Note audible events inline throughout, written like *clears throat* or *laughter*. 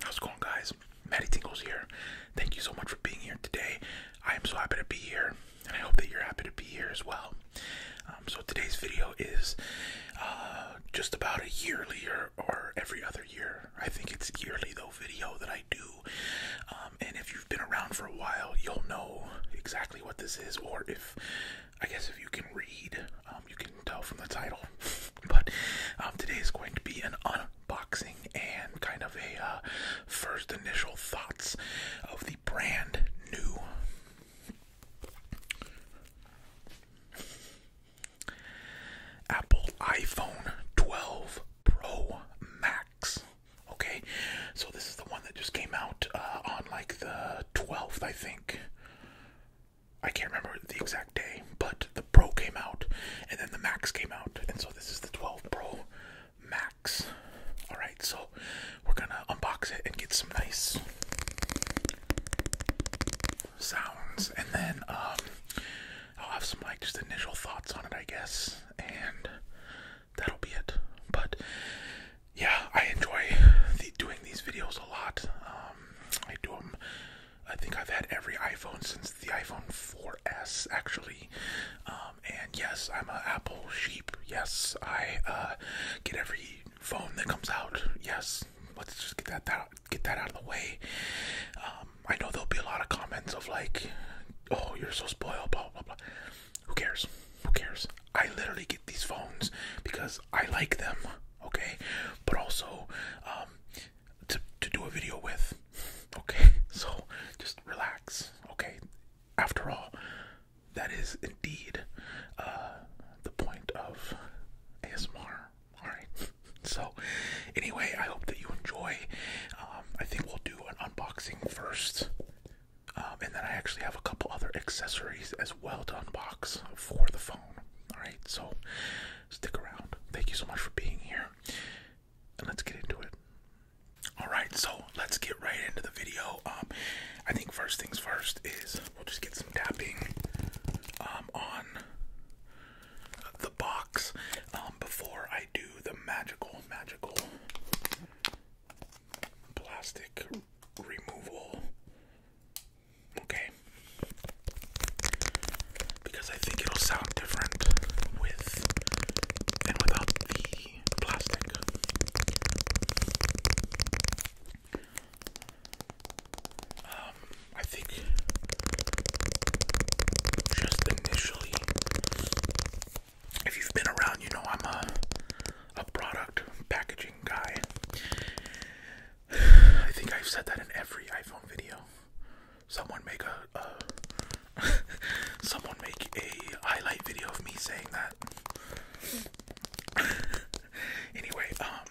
How's it going, guys? Maddie Tingles here. Thank you so much for being here today. I am so happy to be here, and I hope that you're happy to be here as well. Um, so today's video is uh, just about a yearly or or every other year. I think it's yearly though video that I do. Um, and if you've been around for a while, you'll know exactly what this is. Or if I guess if you can read, um, you can tell from the title. *laughs* but um, today is going to be an unboxing and kind of a uh, first initial thoughts of the brand new Apple iPhone 12 Pro Max. Okay, so this is the one that just came out uh, on like the 12th, I think. I can't remember the exact day, but the Pro came out and then the Max came out, and so this is the 12 Pro Max. Alright, so we're gonna unbox it and get some nice sounds, and then um, I'll have some like just initial thoughts on it, I guess, and that'll be it. But yeah, I enjoy doing these videos a lot. Um, I do them. I think I've had every iPhone since the iPhone 4S, actually. Um, and yes, I'm a Apple sheep. Yes, I uh, get every phone that comes out. Yes, let's just get that, out get that out of the way. Um, I know there'll be a lot of comments of like, "Oh, you're so spoiled," blah blah blah. Who cares? Who cares? I literally get these phones because I like them, okay? But also, um, to to do a video with, okay? *laughs* So just relax, okay? After all, that is indeed uh, the point of ASMR. All right. *laughs* So, anyway, I hope that you enjoy. Um, I think we'll do an unboxing first, um, and then I actually have a couple other accessories as well to unbox for the phone. All right. So, stick around. Thank you so much for being here, and let's get into it. All right. So let's get right into the video. Um, I think first things first is we'll just get some tapping um, on the box um, before I do the magical, magical plastic removal. Okay. Because I think it'll sound different with and without the plastic. Um, I think just initially, if you've been around, you know I'm a a product packaging guy. I think I've said that in every iPhone video. Someone make a, *laughs* someone make a highlight video of me saying that. *laughs* anyway, um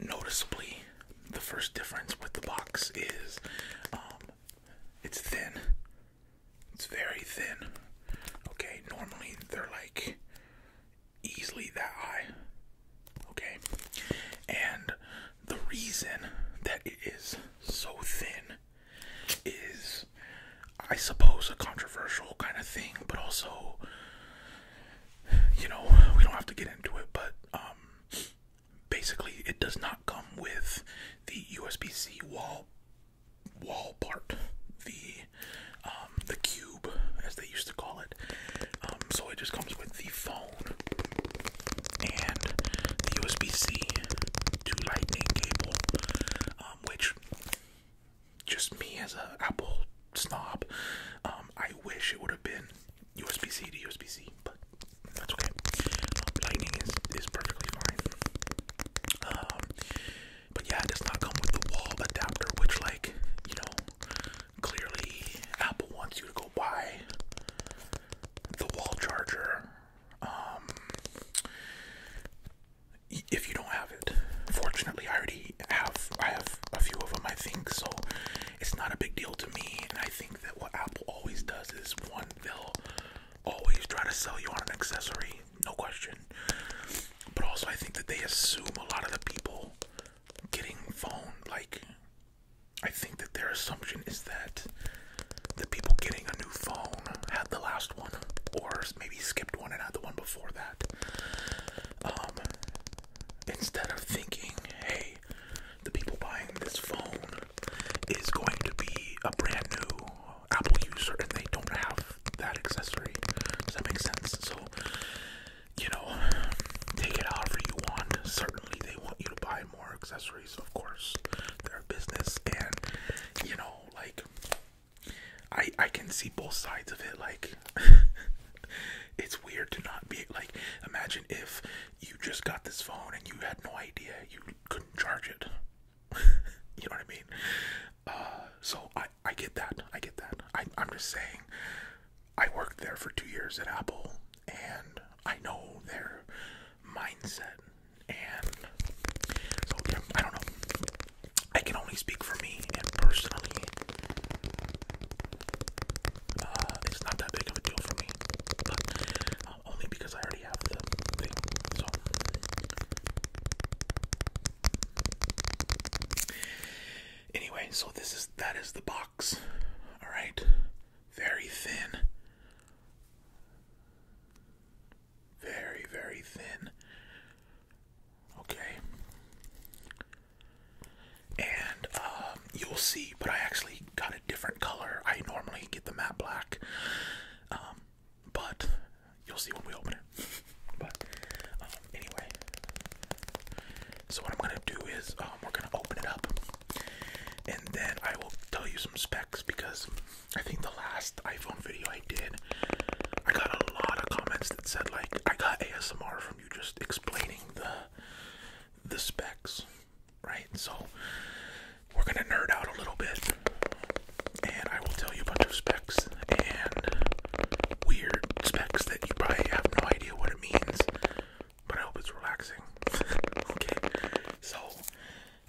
noticeably the first difference with the box is um, it's thin. It's very thin. Okay, normally they're like easily that high. Okay, and the reason that it is so thin is, I suppose, a controversial kind of thing, but also, you know, we don't have to get into it, but um, basically it does not come with the USB-C wall wall part, the um, the cube as they used to call it. Um, so it just comes with the phone and the USB-C to Lightning cable, um, which just me as an Apple snob, I wish it would have been USB C to USB C, but that's okay. Lightning is, is perfectly fine. Um, but yeah, it does not come with the wall adapter, which, like, you know, clearly Apple wants you to go buy the wall charger. Um, if you don't have it, fortunately, I already have. I have a few of them, I think, so it's not a big deal to me, and I think that what Apple always does is one, they'll always try to sell you on an accessory, no question. But also, I think that they assume a lot of the people getting phone, like, I think that their assumption is that the people getting a new phone had the last one, or maybe skipped one and had the one before that. Um, instead of thinking, hey, the people buying this phone is going to be a brand new Apple user and they don't have that accessory. Does that make sense? So, you know, take it however you want. Certainly, they want you to buy more accessories, of course. They're a business, and you know, like, I I can see both sides of it. Like, *laughs* it's weird to not be like. Imagine if you just got this phone and you had no idea you couldn't charge it. *laughs* you know what I mean? Uh, so I I get that. I get that. I, am just saying. I worked there for two years at Apple, and I know their mindset. And so I don't know. I can only speak for me and personally. Uh, it's not that big of a deal for me, um, only because I already have the So, anyway, so this is that is the box. All right, very thin, very very thin. Okay and um, you'll see. But I actually got a different color. I normally get the matte black, um, but you'll see when we open it. *laughs* But um, anyway, so what I'm gonna do is we're gonna open it up, and then I will tell you some specs because I think the last iPhone video I did, I got a lot of comments that said like I got ASMR from you just explaining the the specs right? So we're gonna nerd out a little bit, and I will tell you a bunch of specs and weird specs that you probably have no idea what it means. But I hope it's relaxing. *laughs* okay, so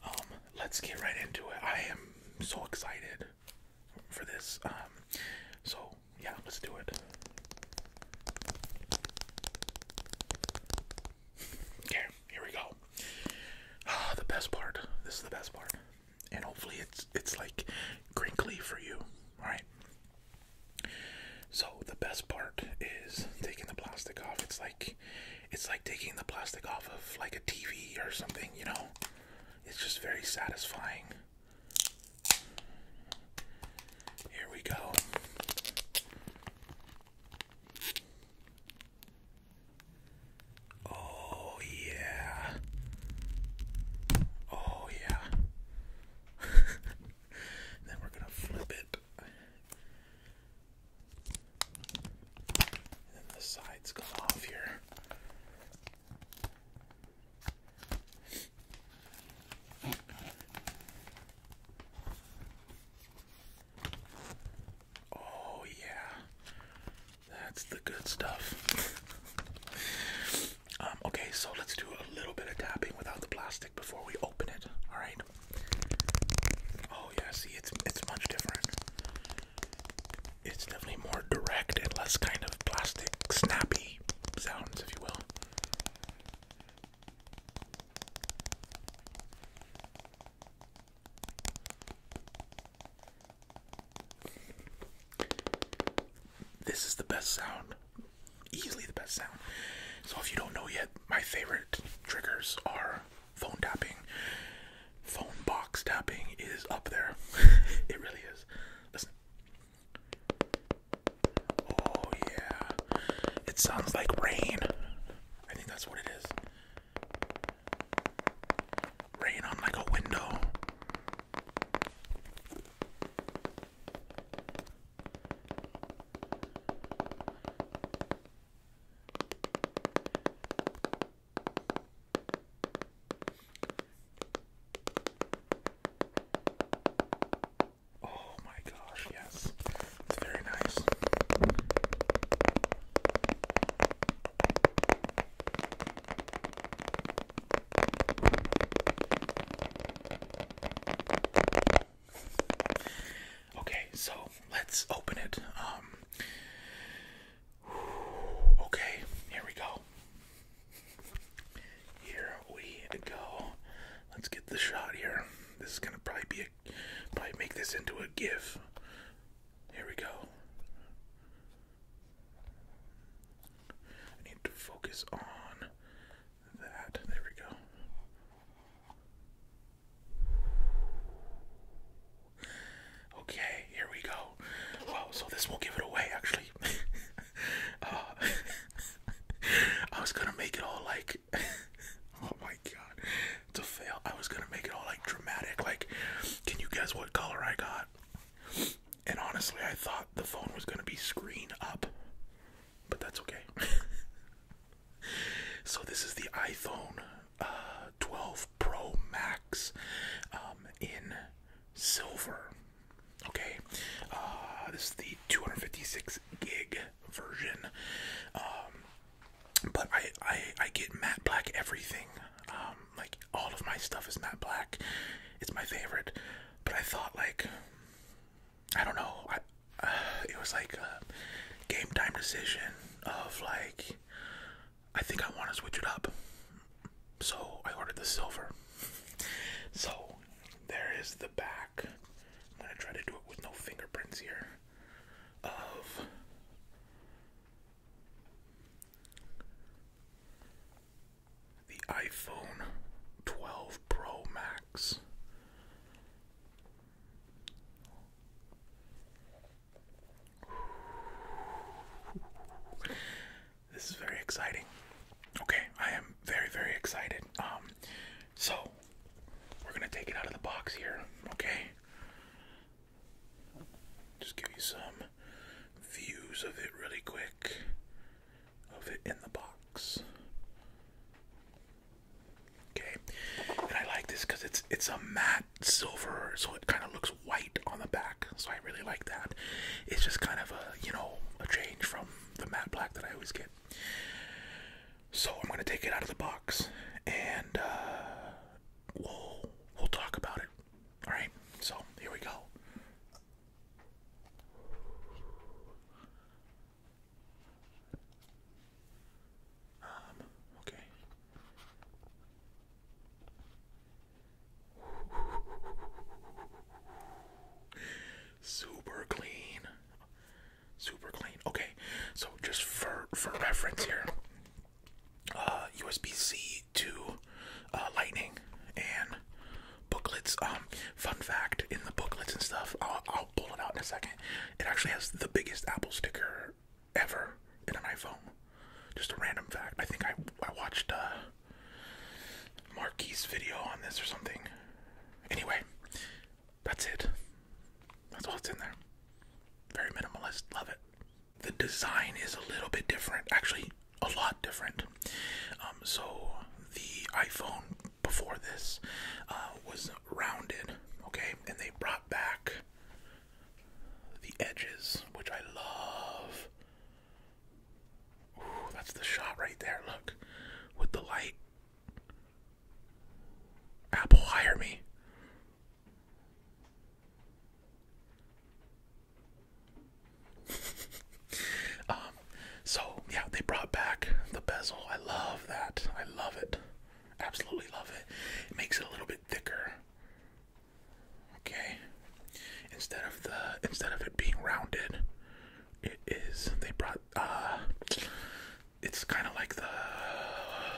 um, let's get right into it. I am so excited for this. Um, so yeah, let's do it. Okay, here we go. Ah, the best part. This is the best part. And hopefully it's it's like crinkly for you. Alright. So the best part is taking the plastic off. It's like it's like taking the plastic off of like a TV or something, you know? It's just very satisfying. Here we go. Oh, yeah. Oh, yeah. *laughs* then we're going to flip it. And the sides come off here. Oh, yeah. That's the good stuff. *laughs* Um, okay, so let's do a little bit of tapping without the plastic before we open it. All right. Oh yeah, see, it's it's much different. It's definitely more direct and less kind of plastic snappy sounds, if you will. This is the best sound, easily the best sound. So, if you don't know yet, my favorite triggers are phone tapping. Phone box tapping is up there, *laughs* it really is. Listen. Oh yeah. It sounds like rain. I think that's what it is. Rain on like a window. Oh my gosh, yes. It's very nice. Okay, so let's open it. Um Okay, here we go. Here we go. Let's get the shot here. This is gonna probably be a probably make this into a GIF. Here we go. I need to focus on that. There we go. Okay, here we go. Wow, so this will give it away actually. *laughs* Uh, *laughs* I was gonna make it all like like *laughs* oh my god it's fail i was gonna make it all like dramatic like can you guess what color i got and honestly i thought the phone was gonna be screen up but that's okay *laughs* so this is the iphone uh, 12 pro max um, in silver okay uh, this is the 256 gig version. Um, but I, I, I get matte black everything. Um, like all of my stuff is matte black. It's my favorite. But I thought like, I don't know. Uh, it was like a game time decision of like, I think I want to switch it up. So I ordered the silver. *laughs* So there is the back. I'm gonna try to do it with no fingerprints here. Of the iPhone 12 Pro Max. This is very exciting. Okay, I am very, very excited. Um, so, we're going to take it out of the box here, okay? Just give you some views of it really quick, of it in the box. Okay, and I like this because it's it's a matte silver, so it kind of looks white on the back. So I really like that. It's just kind of a you know a change from the matte black that I always get. So I'm gonna take it out of the box, and uh, we'll we'll talk about it. All right. So here we go. Um, okay. Super clean. Super clean. Okay, so just for for reference here, uh, USB-C to uh, Lightning and booklets. Um, fun fact in the booklets and stuff, I'll, I'll pull it out in a second. It actually has the biggest Apple sticker ever in an iPhone. Just a random fact. I think I I watched a. Uh, Marquis video on this or something. Anyway, that's it. That's all that's in there. Very minimalist. Love it. The design is a little bit different. Actually, a lot different. Um, so the iPhone before this uh, was rounded, okay, and they brought back the edges, which I love. Ooh, that's the shot right there. Look, with the light Apple, hire me. *laughs* Um, so yeah, they brought back the bezel. I love that. I love it. Absolutely love it. It makes it a little bit thicker. Okay. Instead of the instead of it being rounded, it is they brought uh it's kind of like the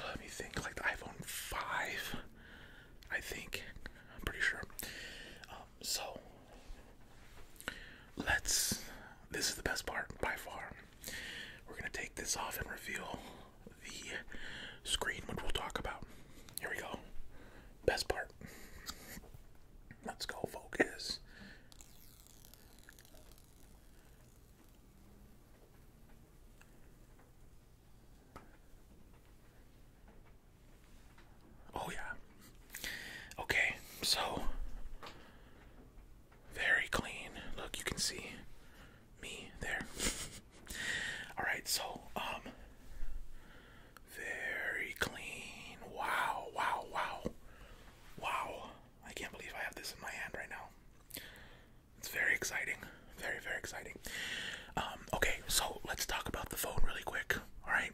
let me think like the iPhone 5 I think I'm pretty sure um, so let's this is the best part by far we're gonna take this off and reveal the screen which we'll talk about here we go best part let's go focus Oh, yeah. Okay, so very clean. Look, you can see me there. *laughs* All right, so, um, very clean. Wow, wow, wow, wow. I can't believe I have this in my hand right now. It's very exciting. Very, very exciting. Um, okay, so let's talk about the phone really quick. Alright?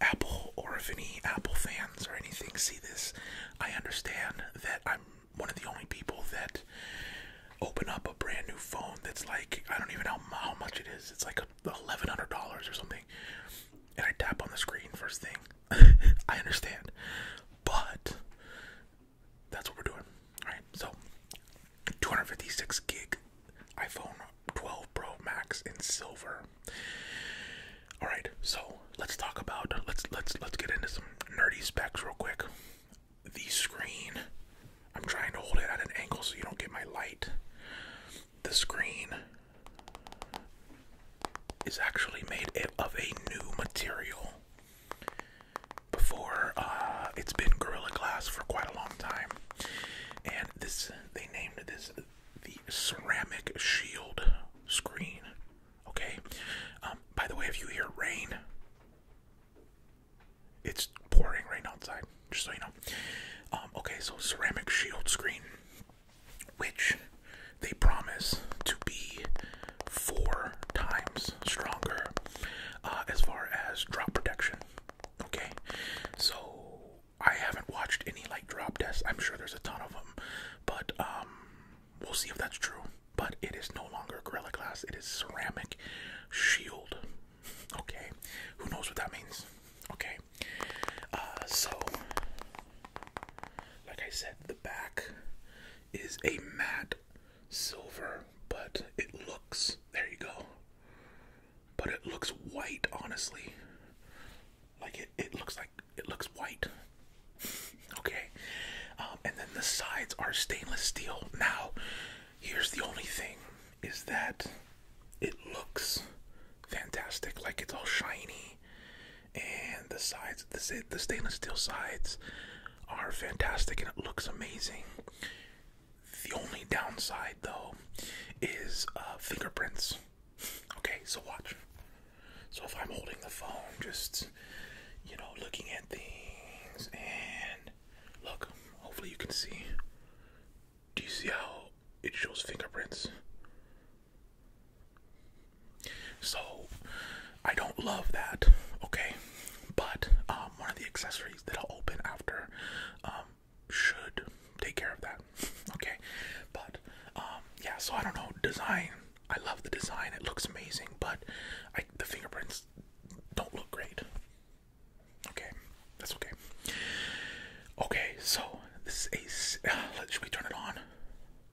Apple, or if any Apple fans or anything see this, I understand that I'm one of the only people that open up a brand new phone that's like, I don't even know how much it is. It's like $1,100 or something and I tap on the screen first thing. *laughs* I understand, but that's what we're doing. All right, so 256 gig iPhone 12 Pro Max in silver. All right, so let's talk about let's let's let's get into some nerdy specs real quick. The screen. I'm trying to hold it at an angle so you don't get my light. The screen is actually made of a new material. Before, uh, it's been Gorilla Glass for quite a long time, and this they named this the ceramic shield screen. Okay. Um, by the way, if you hear rain, it's pouring rain outside. Just so you know. Um, okay, so ceramic shield screen which they promise to be four times stronger uh, as far as drop protection. Okay, so I haven't watched any like drop tests. I'm sure there's a ton of them, but um, we'll see if that's true. But it is no longer Gorilla Glass; it is ceramic shield. Okay, who knows what that means? Okay, uh, so like I said, the back is a matte silver, but it looks, there you go, but it looks white, honestly. Like it, it looks like, it looks white. okay. Um, and then the sides are stainless steel. Now, here's the only thing is that it looks fantastic. Like it's all shiny and the sides, the, stainless steel sides are fantastic and it looks amazing. The only downside, though, is uh, fingerprints. Okay, so watch. So if I'm holding the phone, just you know, looking at things, and look, hopefully you can see. Do you see how it shows fingerprints? So I don't love that, okay? But um, one of the accessories that I'll open after um, should take care of that, okay? But um, yeah, so I don't know. Design, I love the design. It looks amazing, but I, the fingerprints don't look great. Okay, that's okay. Okay, so this is a. Uh, *sighs* should we turn it on?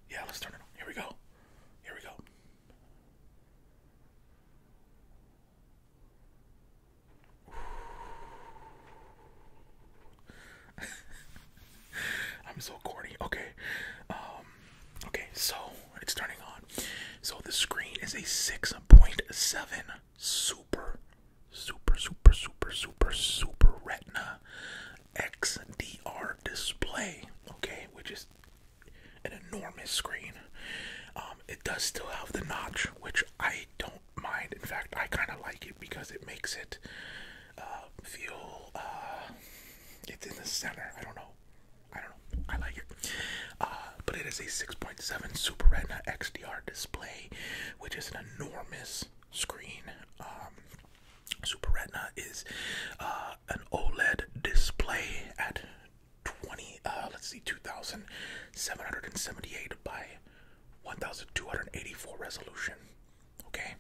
Yeah, let's turn it on. Here we go. Here we go. *laughs* I'm so corny. Okay. Um, okay, so it's turning on. So the screen is a 6.7 super super super super super super retina XDR display, okay, which is an enormous screen. Um, it does still have the notch, which I don't mind. In fact, I kind of like it because it makes it uh, feel uh, it's in the center. I don't know. I don't know. I like it. Uh, but it is a 6.7 Super Retina XDR display, which is an enormous screen. Um, Super Retina is uh, an OLED display at 20, uh, let's see, 2778 by 1284 resolution. Okay,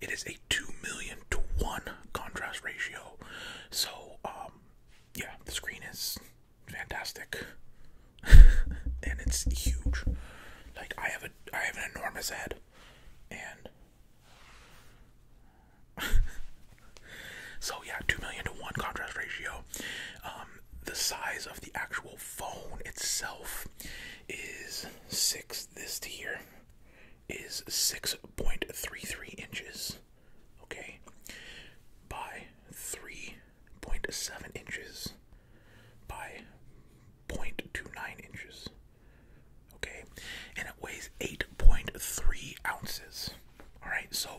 it is a 2 million to 1 contrast ratio. So, um, yeah, the screen is fantastic *laughs* and it's huge. Like, I have a I have an enormous head and *laughs* so yeah, two million to one contrast ratio. Um, the size of the actual phone itself is six. This tier is six point three three inches. Okay, by three point seven inches by 0.29 inches. Okay, and it weighs 8.3 ounces. All right, so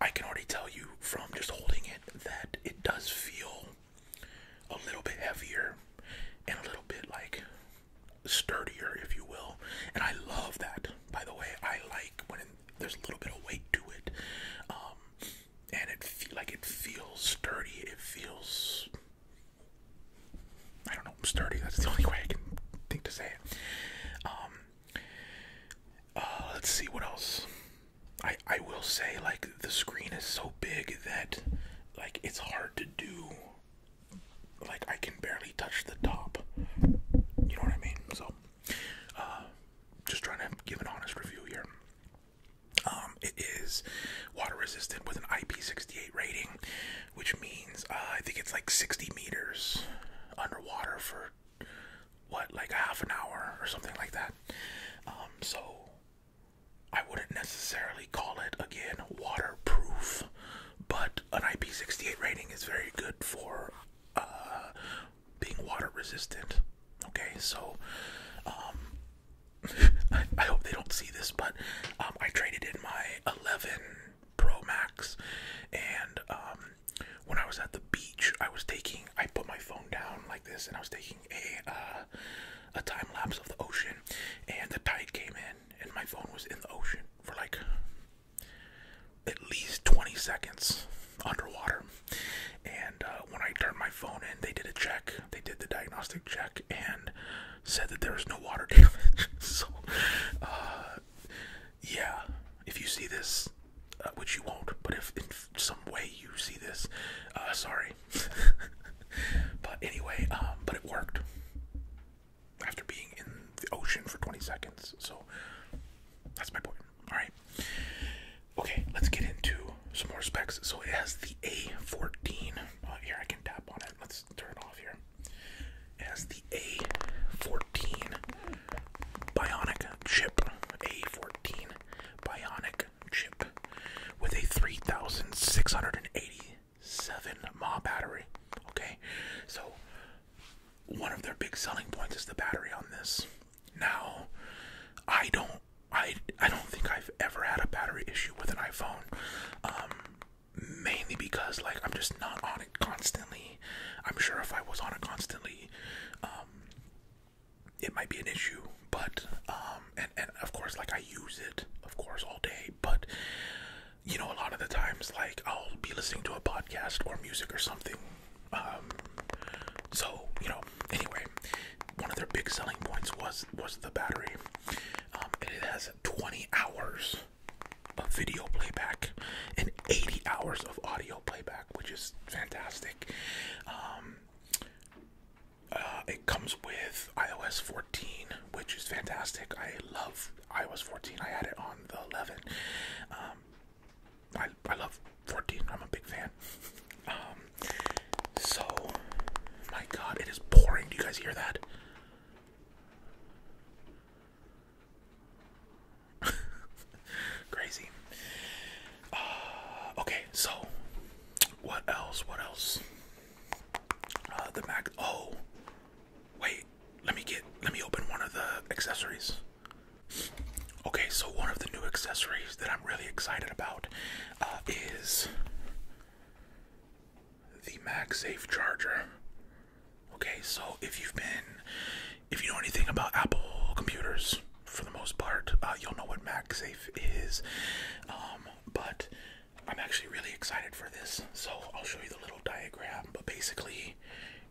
I can already tell you from just holding it that it does feel a little bit heavier and a little bit like sturdier, if you will. And I love that, by the way. I like when there's a little bit of weight to it. Um, and it feel like it feels sturdy. It feels I don't know sturdy. That's the only way I can think to say it. Um, uh, let's see what else. I I will say like the screen is so big that like it's hard to do. Like I can barely touch the top. You know what I mean? So, uh, just trying to give an honest review here. Um, it is water resistant with an IP68 rating, which means uh, I think it's like 60 meters underwater for what, like half an hour or something like that. Um, so I wouldn't necessarily call it again waterproof, but an IP68 rating is very good for uh, being water resistant. Okay, so um, *laughs* I, hope they don't see this, but um, I traded in my 11 Pro Max, and um, when I was at the beach, I was taking. I put my phone down like this, and I was taking a uh, a time lapse of the ocean, and the tide came in, and my phone was in the ocean for like at least 20 seconds underwater. And uh, when I turned my phone in, they did a check. They did the diagnostic check and said that there was no water *laughs* damage. so, uh, yeah, if you see this, uh, which you won't, but if in some way you see this, uh, sorry. *laughs* but anyway, um, but it worked after being in the ocean for 20 seconds. So that's my point. All right. Okay, let's get into some more specs. So it has the A14. here I can tap on it. Let's turn it off here. has the A14 Bionic chip. A14 Bionic chip with a 3687 mAh battery. Okay, so one of their big selling points is the battery on this. Now, I don't I I don't think I've ever had a battery issue with an iPhone. Um, mainly because like I'm just not on it constantly. I'm sure if I was on it constantly, um, it might be an issue. But um, and and of course like I use it of course all day, but you know a lot of the times like I'll be listening to a podcast or music or something. so you know anyway one of their big selling points was was the battery. Um, and it has 20 hours of video playback and 80 hours of audio playback, which is fantastic. Um, uh, it comes with iOS 14, which is fantastic. I love iOS 14. I had it on the 11. Um, I I love 14. I'm a big fan. So, my God, it is pouring. Do you guys hear that? *laughs* Crazy. Uh, okay, so what else? What else? Uh, the Mac. Oh, wait. Let me get. Let me open one of the accessories. Okay, so one of the new accessories that I'm really excited about uh, is the MagSafe charger. Okay, so if you've been, if you know anything about Apple computers, for the most part, uh, you'll know what MagSafe is. Um, but I'm actually really excited for this, so I'll show you the little diagram. But basically,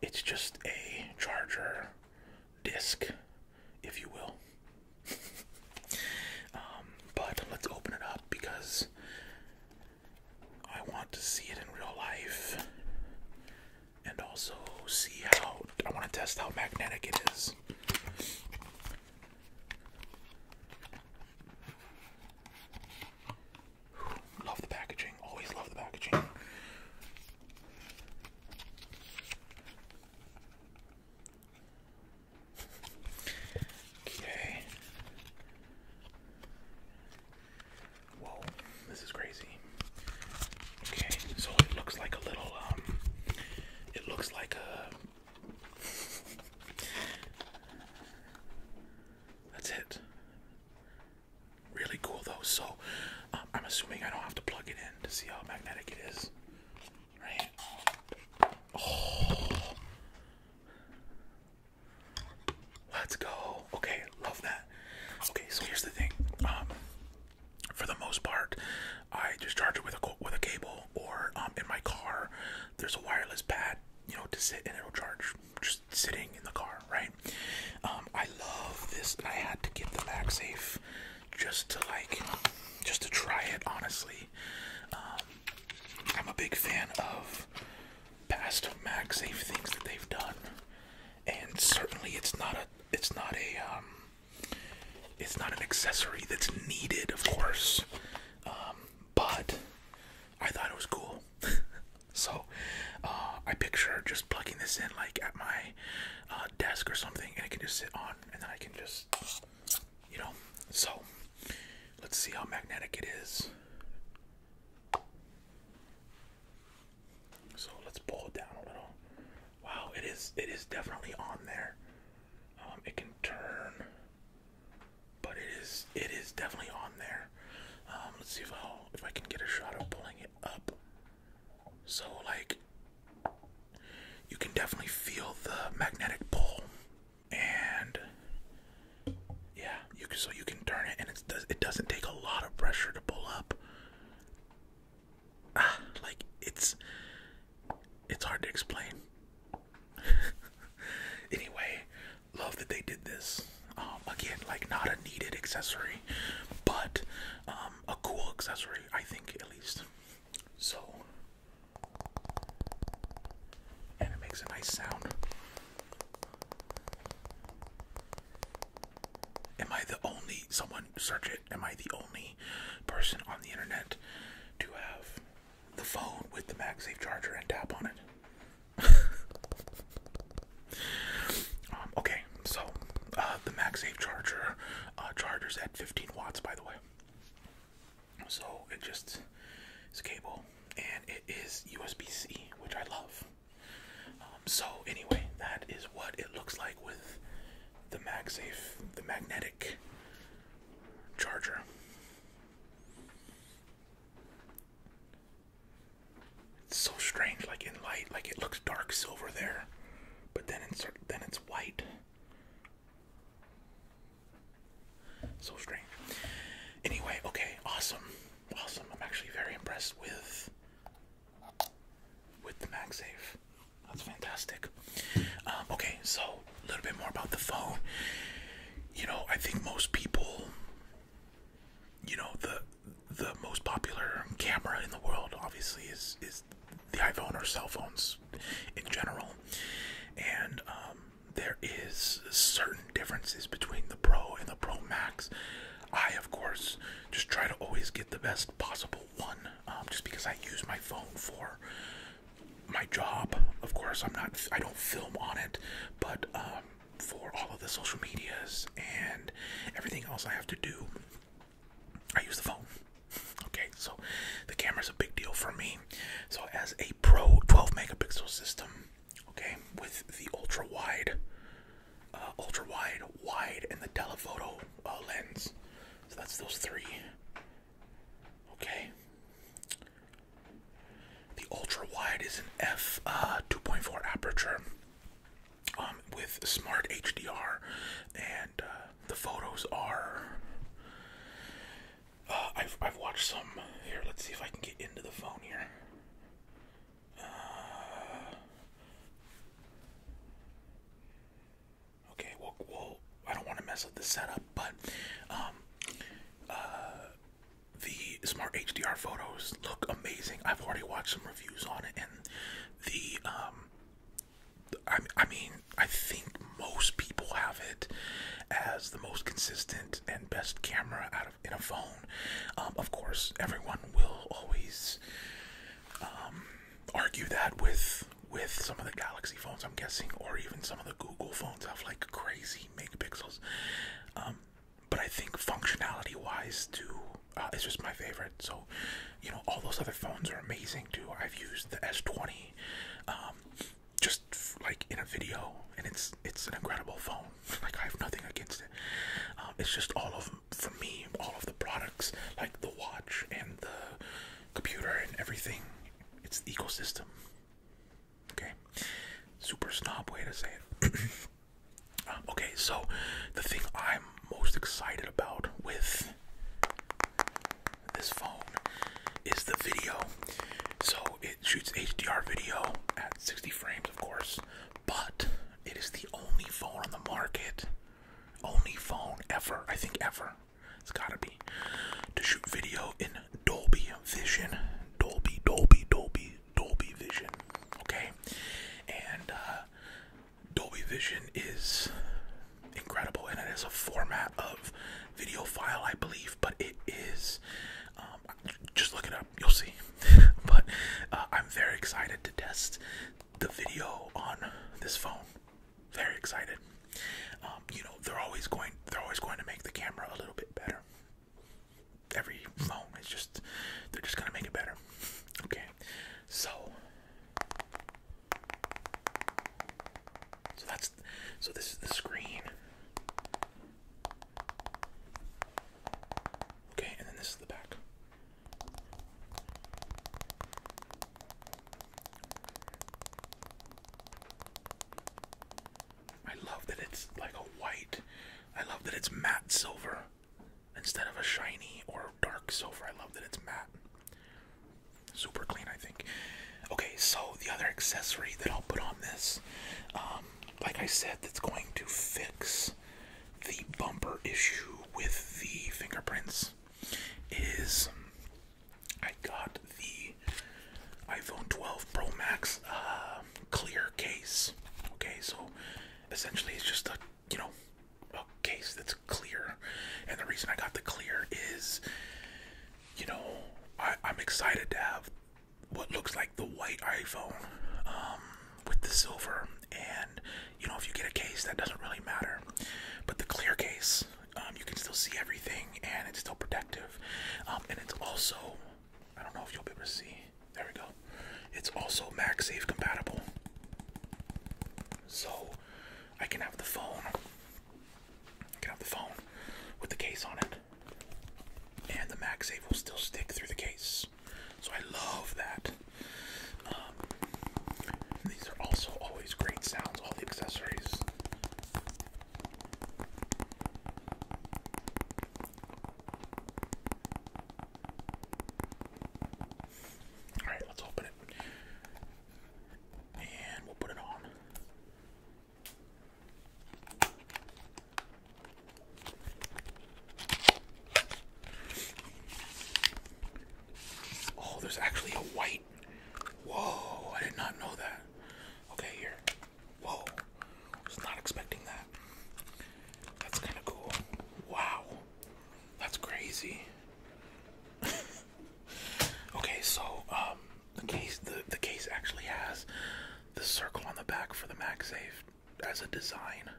it's just a charger disc if you will. *laughs* Um, but let's open it up because I want to see it in real life and also see how I want to test how magnetic it is. Love the packaging, always love the packaging. Okay. Whoa, this is crazy. Okay, so it looks like a little, um, it looks like a. That's it. Really cool though. So um, I'm assuming I don't have to plug it in to see how magnetic it is. Right? Oh. Let's go. Okay, love that. Okay, so here's the thing. Um for the most part, I just charge it with a with a cable or um in my car there's a wireless pad, you know, to sit and it'll charge just sitting in the car, right? Um I love this. I had to get the back safe just to like just to try it honestly um, I'm a big fan of past MagSafe things that they've done and certainly it's not a it's not a um, it's not an accessory that's needed of course um, but I thought it was cool *laughs* so uh, I picture just plugging this in like at my uh, desk or something and it can just sit on and then I can just you know, so let's see how magnetic it is. So let's pull it down a little. Wow, it is it is definitely on there. Um, it can turn, but it is it is definitely on there. Um, let's see if I if I can get a shot of pulling it up. So like you can definitely feel the magnetic pull and yeah you can so you can turn it and it does it doesn't take a lot of pressure to pull up ah, like it's it's hard to explain *laughs* anyway love that they did this um again like not a needed accessory but um, a cool accessory i think at least so and it makes a nice sound. Am I the only someone search it? Am I the only person on the internet to have the phone with the MagSafe charger and tap on it? *laughs* Um, okay, so uh, the MagSafe charger uh, chargers at 15 watts, by the way. So it just is cable and it is USB C, which I love. Um, so anyway, that is what it looks like with the MagSafe, the magnetic charger. It's so strange, like in light, like it looks dark silver there, but then it's then it's white so strange. Anyway, okay, awesome. Awesome. I'm actually very impressed with with the MagSafe. That's fantastic. Um, okay, so a little bit more about the phone. You know, I think most people you know, the the most popular camera in the world obviously is is the iPhone or cell phones in general, and um, there is certain differences between the Pro and the Pro Max. I, of course, just try to always get the best possible one, um, just because I use my phone for my job. Of course, I'm not. I don't film on it, but um, for all of the social medias and everything else I have to do, I use the phone. Okay, so the camera's a big deal for me. So as a pro 12 megapixel system, okay, with the ultra wide, uh, ultra wide, wide, and the telephoto uh, lens. So that's those three. Okay. The ultra wide is an f uh, 2.4 aperture um, with smart HDR and the photos are. Uh, I've I've watched some here. Let's see if I can get into the phone here. Uh, okay, well, well, I don't want to mess up the setup, but um, uh, the smart HDR photos look amazing. I've already watched some reviews on it, and the um, I, I mean, I think most people have it as the most consistent and best camera out of in a phone. Um, of course, everyone will always um, argue that with with some of the Galaxy phones, I'm guessing, or even some of the Google phones have like crazy megapixels. Um, but I think functionality-wise, too, uh, it's just my favorite. So, you know, all those other phones are amazing too. I've used the S20. Um, just like in a video, and it's it's an incredible phone. *laughs* Like I have nothing against it. Um, it's just all of for me, all of the products, like the watch and the computer and everything. It's the ecosystem. Okay, super snob way to say it. *clears throat* Um, okay, so the thing I'm most excited about with this phone is the video. So it shoots HDR video at 60 frames, of course, but it is the only phone on the market, only phone ever, I think ever, it's gotta be, to shoot video in Dolby Vision. Dolby, Dolby, Dolby, Dolby Vision. Okay? And uh, Dolby Vision is incredible, and it is a format of video file, I believe, but it is. Um, just look it up, you'll see. *laughs* but uh, I'm very excited to test the video on this phone. Very excited. Um, you know they're always going. They're always going to make the camera a little bit better. Every phone is just. They're just gonna make it better. *laughs* Okay, so so that's so this is the screen. Okay, and then this is the back. I love that it's like a white. I love that it's matte silver instead of a shiny or dark silver. I love that it's matte. Super clean, I think. Okay, so the other accessory that I'll put on this, um, like I said, that's going to fix the bumper issue with the fingerprints is I got the iPhone 12 Pro Max um, clear case. Okay, so essentially it's just a you know a case that's clear. And the reason I got the clear is, you know, I, am excited to have what looks like the white iPhone um, with the silver. And, you know, if you get a case, that doesn't really matter. But the clear case, um, you can still see everything and it's still protective. Um, and it's also, I don't know if you'll be able to see. There we go. It's also MagSafe compatible. So I can have the phone Get out the phone with the case on it. And the MagSafe will still stick through the case. So I love that. Um, these are also always great sounds, all the accessories. Alright, let's open it. And we'll put it on. Oh, there's actually a white. Whoa, I did not know that. Okay, here. Whoa, was not expecting that. That's kind of cool. Wow, that's crazy. *laughs* Okay, so um, the case the the case actually has the circle on the back for the MagSafe as a design.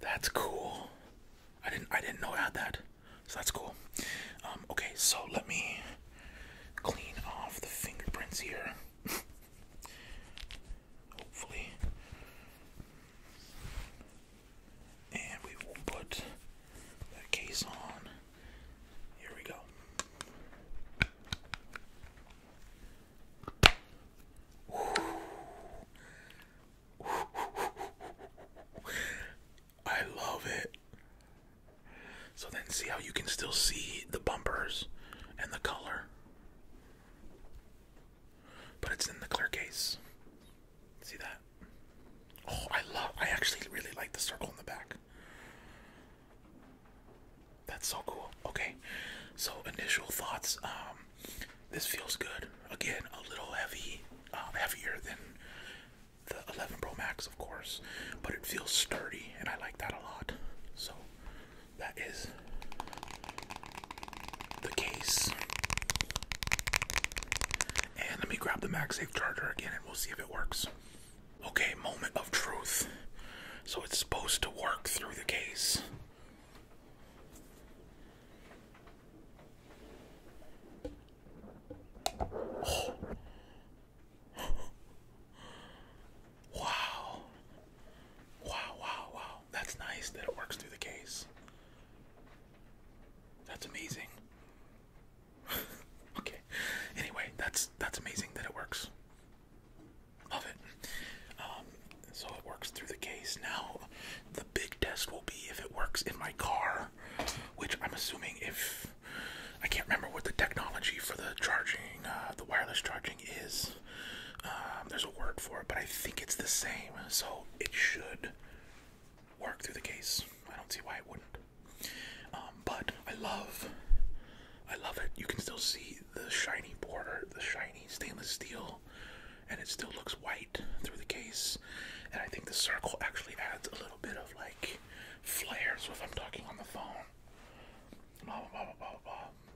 That's cool. I didn't I didn't know it had that, so that's cool. Um, okay, so let me clean off the fingerprints here. *laughs* Hopefully and we will put that case on. Here we go. I love it. So then, see how you can still see the bumpers and the color, but it's in the clear case. See that? Oh, I love, I actually really like the circle in the back. That's so cool. Okay, so initial thoughts. Um, this feels good. Again, a little heavy, uh, heavier than the 11 Pro Max, of course, but it feels sturdy, and I like that a lot. So that is the case. And let me grab the MagSafe charger again and we'll see if it works. Okay, moment of truth. So it's supposed to work through the case. *gasps* Wow. Wow, wow, wow. That's nice that it works through the case. That's amazing. *laughs* okay. Anyway, that's that's amazing that it works. Love it. Um, so it works through the case. Now, the big test will be if it works in my car, which I'm assuming if I can't remember what the technology for the charging, uh, the wireless charging is. Um, there's a word for it, but I think it's the same. So it should work through the case. I don't see why it wouldn't. Um, but I love, I love it. You can still see the shiny border, the shiny stainless steel, and it still looks white through the case. And I think the circle actually adds a little bit of like flair. So if I'm talking on the phone, blah blah blah blah. blah.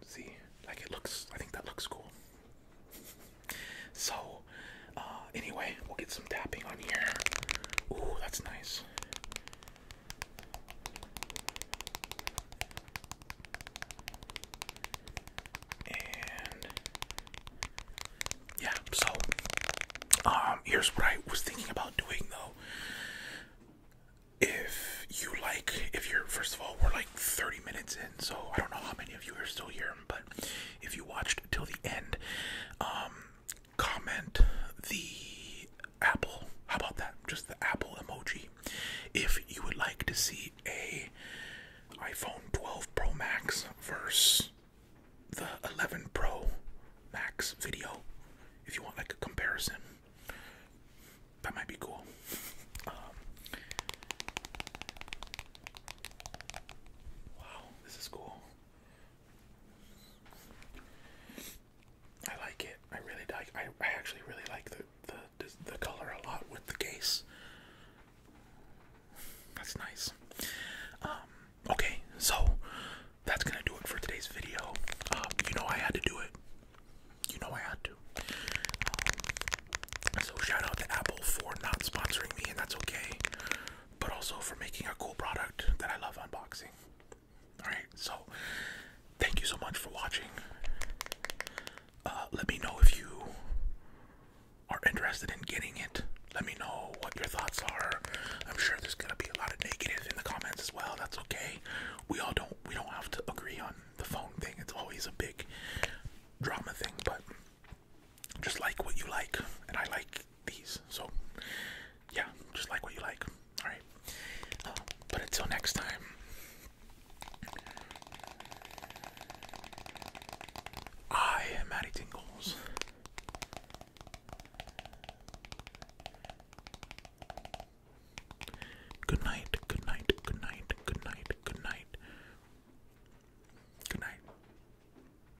See, like it looks. I think that looks cool. So uh, anyway, we'll get some tapping on here. Ooh, that's nice. And yeah, so um, here's what I was thinking about doing though. If you like, if you're, first of all, we're like 30 minutes in, so I don't know how many of you are still here, but if you watched till the end, um, comment the apple. How about that? Just the apple emoji. If you would like to see a iPhone 12 Pro Max versus the 11 Pro Max video, if you want like a comparison, that might be cool. Um, wow, this is cool. I like it. I really like. I, I actually really like the the the color a lot with the case. That's nice. Um, okay, so that's gonna do it for today's video. Um, you know I had to do it. You know I had to. Um, so shout out to Apple for not sponsoring me, and that's okay but also for making a cool product that I love unboxing. Alright, so thank you so much for watching. Uh, let me know if you are interested in getting it. Let me know what your thoughts are. I'm sure there's gonna be a lot of negative in the comments as well. That's okay. We all don't we don't have to agree on the phone thing. It's always a big drama thing, but just like what you like, and I like these. So, yeah, just like what you like. All right. but until next time. I am Matty Tingles. Good night, good night, good night, good night, good night. Good night.